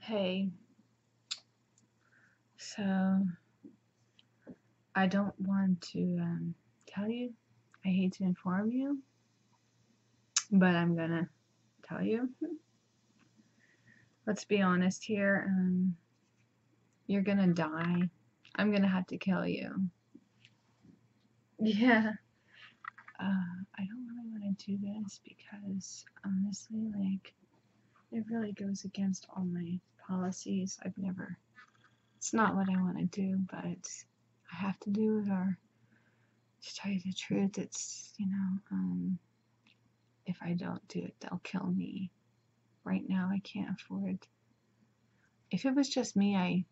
Hey, so I don't want to um, tell you. I hate to inform you, but I'm gonna tell you. Let's be honest here. Um, you're gonna die. I'm gonna have to kill you. Yeah. Uh, I don't really want to do this because honestly, like, it really goes against all my policies. I've never, it's not what I want to do, but I have to do it, or to tell you the truth, it's, you know, um, if I don't do it, they'll kill me. Right now, I can't afford. If it was just me, I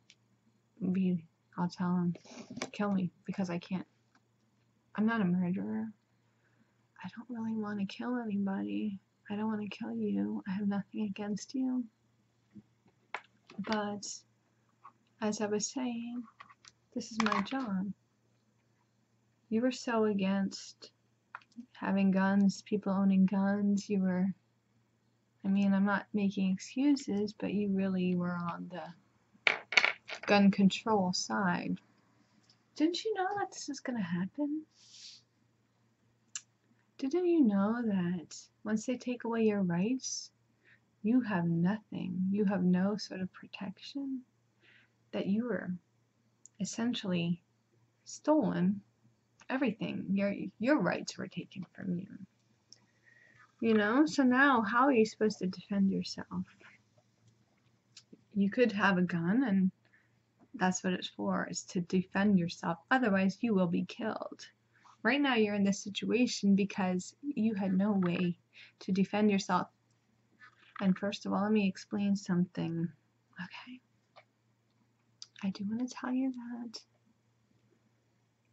would be I'll tell him. Kill me, because I can't. I'm not a murderer. I don't really want to kill anybody. I don't want to kill you. I have nothing against you. But, as I was saying, this is my job. You were so against having guns, people owning guns. You were, I mean, I'm not making excuses, but you really were on the gun control side. Didn't you know that this is going to happen? Didn't you know that once they take away your rights, you have nothing? You have no sort of protection? That you are essentially stolen everything. Your, your rights were taken from you. You know, so now how are you supposed to defend yourself? you could have a gun and that's what it's for is to defend yourself otherwise you will be killed right now you're in this situation because you had no way to defend yourself and first of all let me explain something okay i do want to tell you that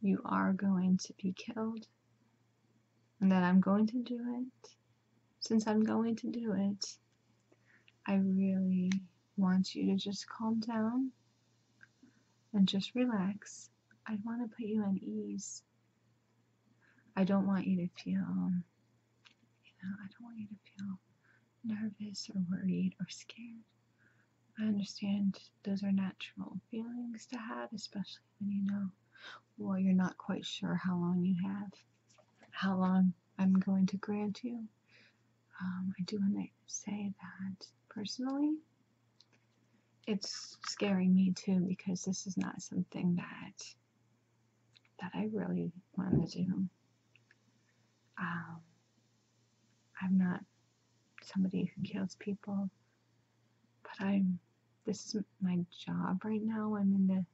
you are going to be killed and that I'm going to do it, since I'm going to do it, I really want you to just calm down and just relax. I want to put you at ease. I don't want you to feel, um, you know, I don't want you to feel nervous or worried or scared. I understand those are natural feelings to have, especially you know well you're not quite sure how long you have how long i'm going to grant you um, i do want to say that personally it's scaring me too because this is not something that that i really want to do um, i'm not somebody who kills people but I'm this is my job right now. I'm in the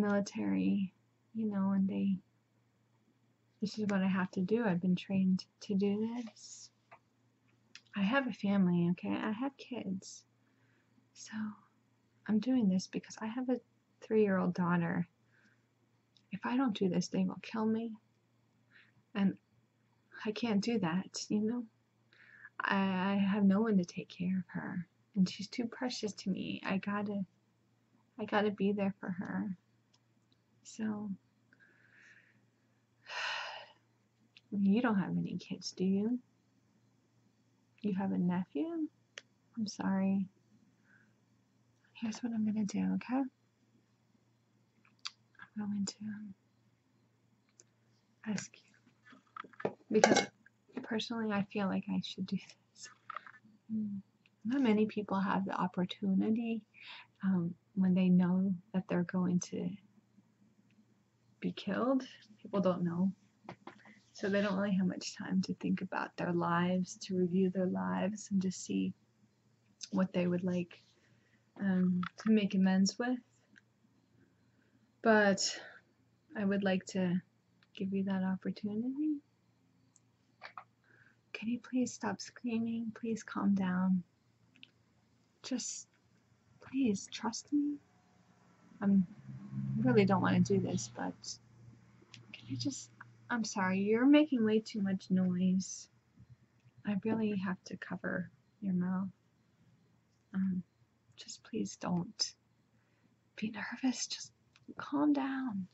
military, you know, and they this is what I have to do. I've been trained to do this. I have a family, okay? I have kids. So I'm doing this because I have a three year old daughter. If I don't do this, they will kill me. And I can't do that, you know? I, have no one to take care of her, and she's too precious to me. I gotta, I gotta be there for her. So, you don't have any kids, do you? You have a nephew? I'm sorry. Here's what I'm gonna do, okay? I'm going to ask you because personally I feel like I should do this. Mm. Not many people have the opportunity um, when they know that they're going to be killed. People don't know. So they don't really have much time to think about their lives, to review their lives, and to see what they would like um, to make amends with. But I would like to give you that opportunity. Can you please stop screaming? Please calm down. Just please trust me. i really don't want to do this, but can I just I'm sorry, you're making way too much noise. I really have to cover your mouth. Um, just please don't be nervous. Just calm down.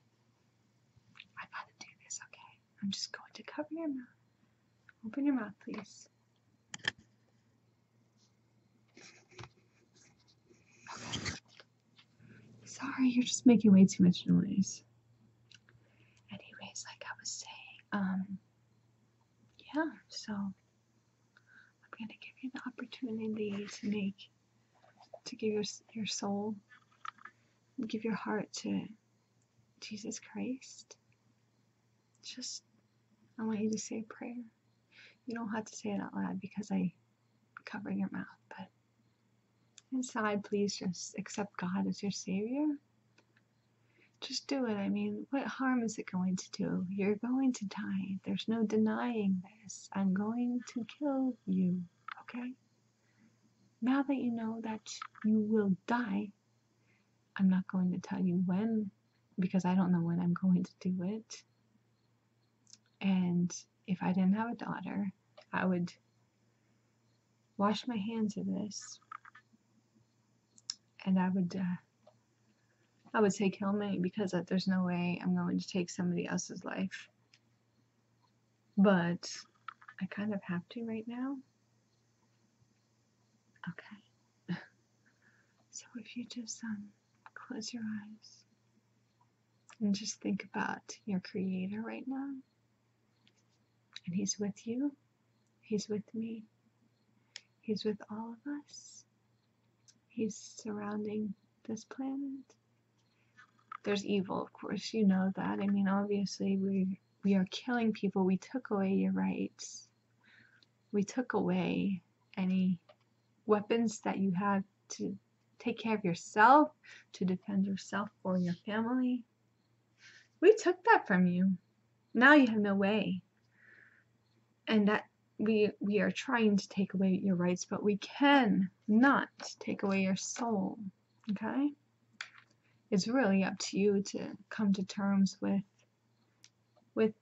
I gotta do this, okay? I'm just going to cover your mouth. Open your mouth, please. Okay. Sorry, you're just making way too much noise. Anyways, like I was saying, um, yeah, so I'm going to give you the opportunity to make, to give your, your soul, give your heart to Jesus Christ. Just, I want you to say a prayer. You don't have to say it out loud because I cover your mouth, but inside, please just accept God as your Savior just do it. I mean, what harm is it going to do? You're going to die. There's no denying this. I'm going to kill you, okay? Now that you know that you will die, I'm not going to tell you when because I don't know when I'm going to do it. And if I didn't have a daughter, I would wash my hands of this and I would uh, I would say kill me because uh, there's no way I'm going to take somebody else's life but I kind of have to right now okay so if you just um, close your eyes and just think about your creator right now and he's with you he's with me he's with all of us he's surrounding this planet. There's evil, of course, you know that. I mean, obviously, we, we are killing people. We took away your rights. We took away any weapons that you had to take care of yourself, to defend yourself for your family. We took that from you. Now you have no way. And that we we are trying to take away your rights, but we can not take away your soul. Okay? It's really up to you to come to terms with with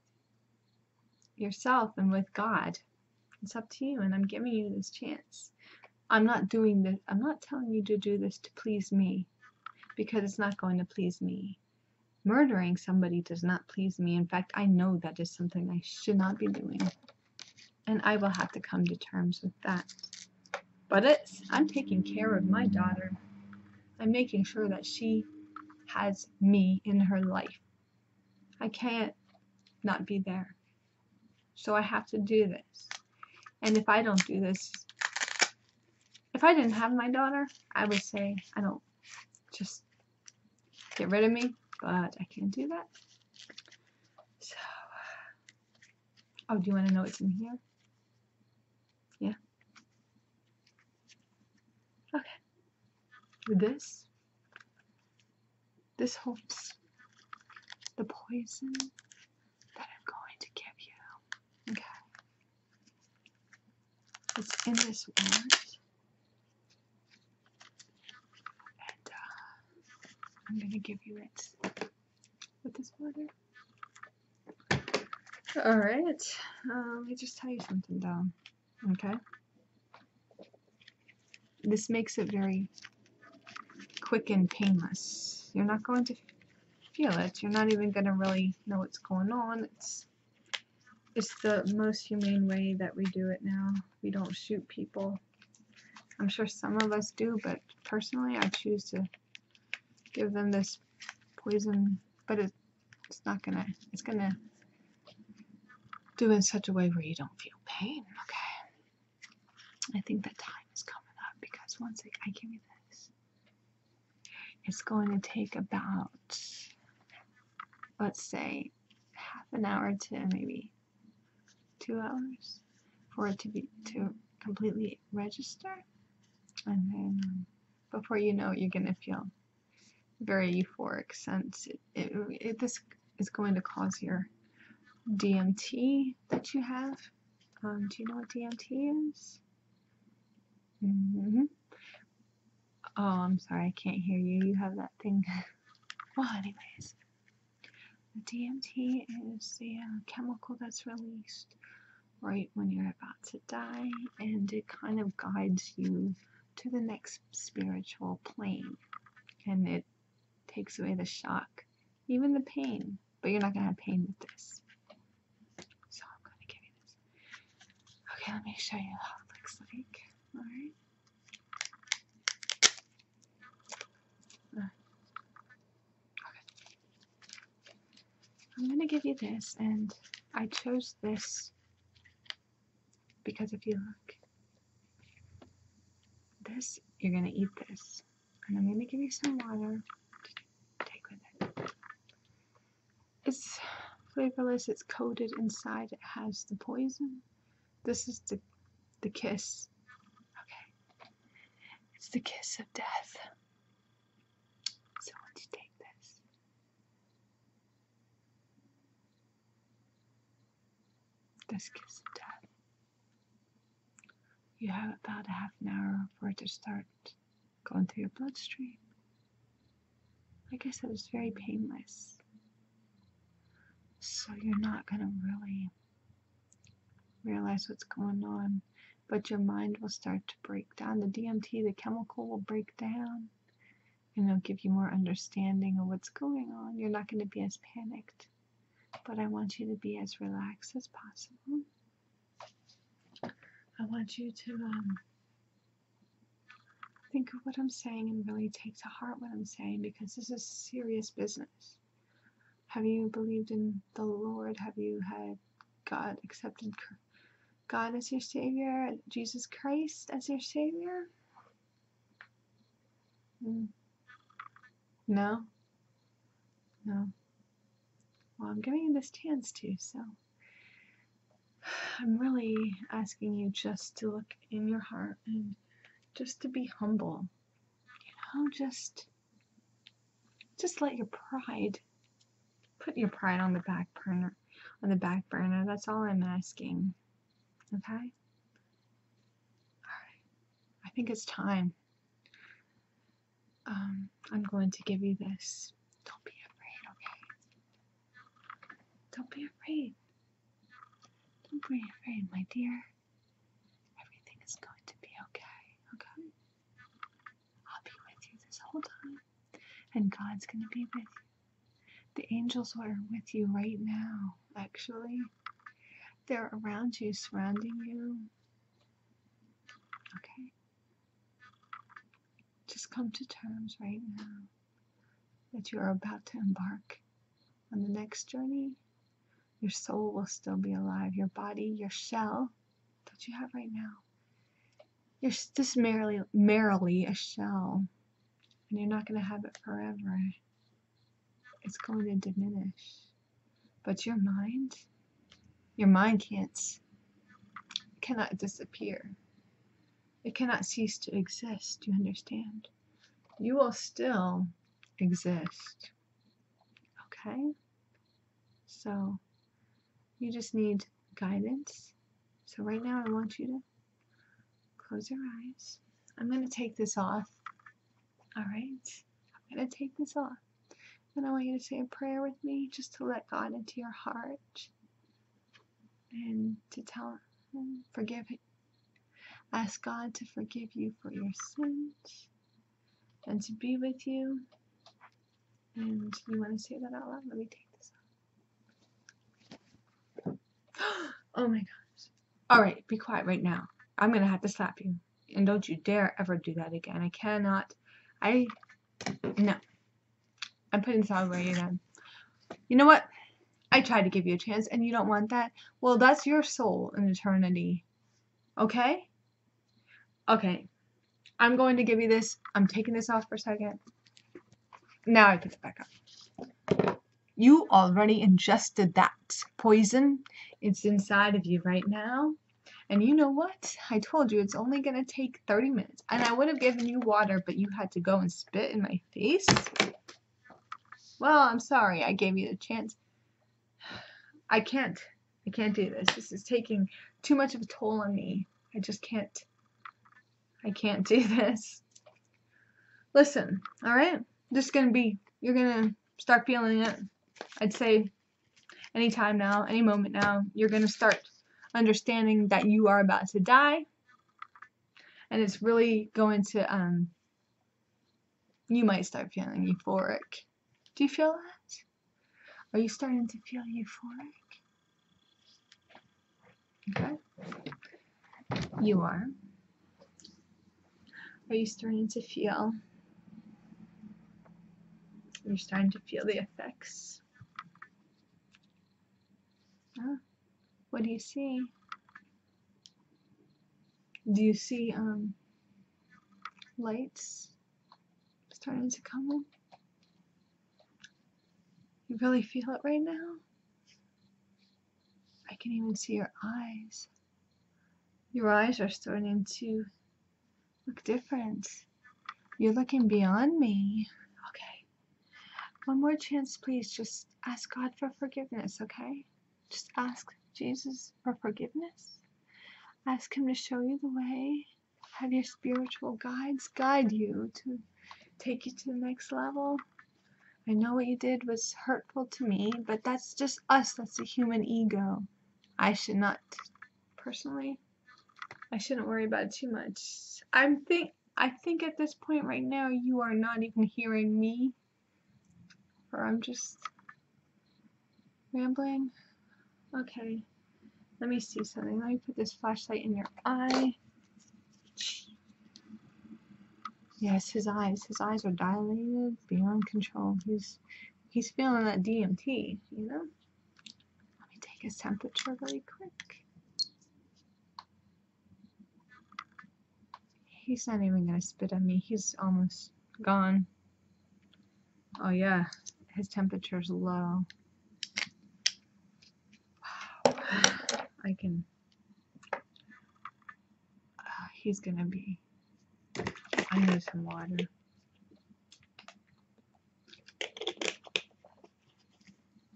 yourself and with God. It's up to you and I'm giving you this chance. I'm not doing this I'm not telling you to do this to please me because it's not going to please me. Murdering somebody does not please me. In fact, I know that is something I should not be doing. And I will have to come to terms with that. But it's, I'm taking care of my daughter. I'm making sure that she has me in her life. I can't not be there. So I have to do this. And if I don't do this, if I didn't have my daughter, I would say, I don't, just get rid of me, but I can't do that. So, oh, do you want to know what's in here? Yeah. Okay. With this, this holds the poison that I'm going to give you. Okay. It's in this ward. And uh, I'm going to give you it with this water. Alright, um, let me just tell you something down, okay? This makes it very quick and painless. You're not going to feel it. You're not even going to really know what's going on. It's it's the most humane way that we do it now. We don't shoot people. I'm sure some of us do, but personally I choose to give them this poison, but it's not gonna, it's gonna do in such a way where you don't feel pain, okay? I think the time is coming up because once I give you this, it's going to take about, let's say, half an hour to maybe two hours for it to be to completely register. And then before you know it, you're going to feel very euphoric since this is going to cause your DMT that you have. Um, do you know what DMT is? Mm -hmm. Oh, I'm sorry, I can't hear you. You have that thing. well, anyways, the DMT is the uh, chemical that's released right when you're about to die, and it kind of guides you to the next spiritual plane. And it takes away the shock, even the pain. But you're not going to have pain with this. So I'm going to give you this. Okay, let me show you how it looks like. Alright. Okay. I'm gonna give you this, and I chose this because if you look, this, you're gonna eat this. And I'm gonna give you some water take with it's flavorless, it's coated inside, it has the poison. This is the the kiss. Okay. It's the kiss of death. So once you take this. This kiss of death. You have about a half an hour for it to start going through your bloodstream. I guess it was very painless. So you're not going to really realize what's going on, but your mind will start to break down. The DMT, the chemical, will break down and it'll give you more understanding of what's going on. You're not going to be as panicked, but I want you to be as relaxed as possible. I want you to um, think of what I'm saying and really take to heart what I'm saying because this is serious business. Have you believed in the Lord? Have you had God accepted God as your Savior? Jesus Christ as your Savior? Mm. No? No. Well, I'm giving you this chance to, so. I'm really asking you just to look in your heart and just to be humble. You know, just just let your pride put your pride on the back burner on the back burner. That's all I'm asking. Okay? Alright. I think it's time. Um, I'm going to give you this. Don't be afraid, okay? Don't be afraid. Don't be afraid, my dear. Everything is going to be okay, okay? I'll be with you this whole time, and God's going to be with you. The angels are with you right now, actually. They're around you, surrounding you. Okay? Just come to terms right now that you are about to embark on the next journey. Your soul will still be alive. Your body, your shell that you have right now. You're just merely, merely a shell, and you're not going to have it forever. It's going to diminish. But your mind, your mind can't, cannot disappear. It cannot cease to exist. you understand? You will still exist. Okay? So you just need guidance. So right now I want you to close your eyes. I'm going to take this off. All right? I'm going to take this off. And I want you to say a prayer with me just to let God into your heart and to tell him, forgive him. Ask God to forgive you for your sins and to be with you. And you want to say that out loud? Let me take this off. oh my gosh. All right, be quiet right now. I'm going to have to slap you. And don't you dare ever do that again. I cannot. I. No. I'm putting Soundwave in. On. You know what? I tried to give you a chance and you don't want that? Well, that's your soul in eternity. Okay? Okay. I'm going to give you this. I'm taking this off for a second. Now I put it back up. You already ingested that poison. It's inside of you right now. And you know what? I told you it's only going to take 30 minutes. And I would have given you water, but you had to go and spit in my my Well, I'm sorry I gave you a chance. I can't. I can't do this. This is taking too much of a toll on me. I just can't. I can't do this. Listen, alright? This is gonna be, you're gonna start feeling it. I'd say any time now, any moment now, you're gonna start understanding that you are about to die and it's really going to um, you might start feeling euphoric do you feel that are you starting to feel euphoric okay you are are you starting to feel you're starting to feel the effects yeah. What do you see? Do you see um, lights starting to come You really feel it right now? I can even see your eyes. Your eyes are starting to look different. You're looking beyond me. Okay. One more chance, please. Just ask God for forgiveness, okay? Just ask Jesus for forgiveness. Ask Him to show you the way. Have your spiritual guides guide you to take you to the next level. I know what you did was hurtful to me, but that's just us. That's the human ego. I should not, personally, I shouldn't worry about it too much. I'm think I think at this point right now, you are not even hearing me. Or I'm just rambling. Okay. Let me see something. Let me put this flashlight in your eye. Yes, his eyes. His eyes are dilated beyond control. He's he's feeling that DMT, you know? Let me take his temperature really quick. He's not even gonna spit at me. He's almost gone. Oh yeah, his temperature's low. I can... Ah, he's gonna be... I need some water.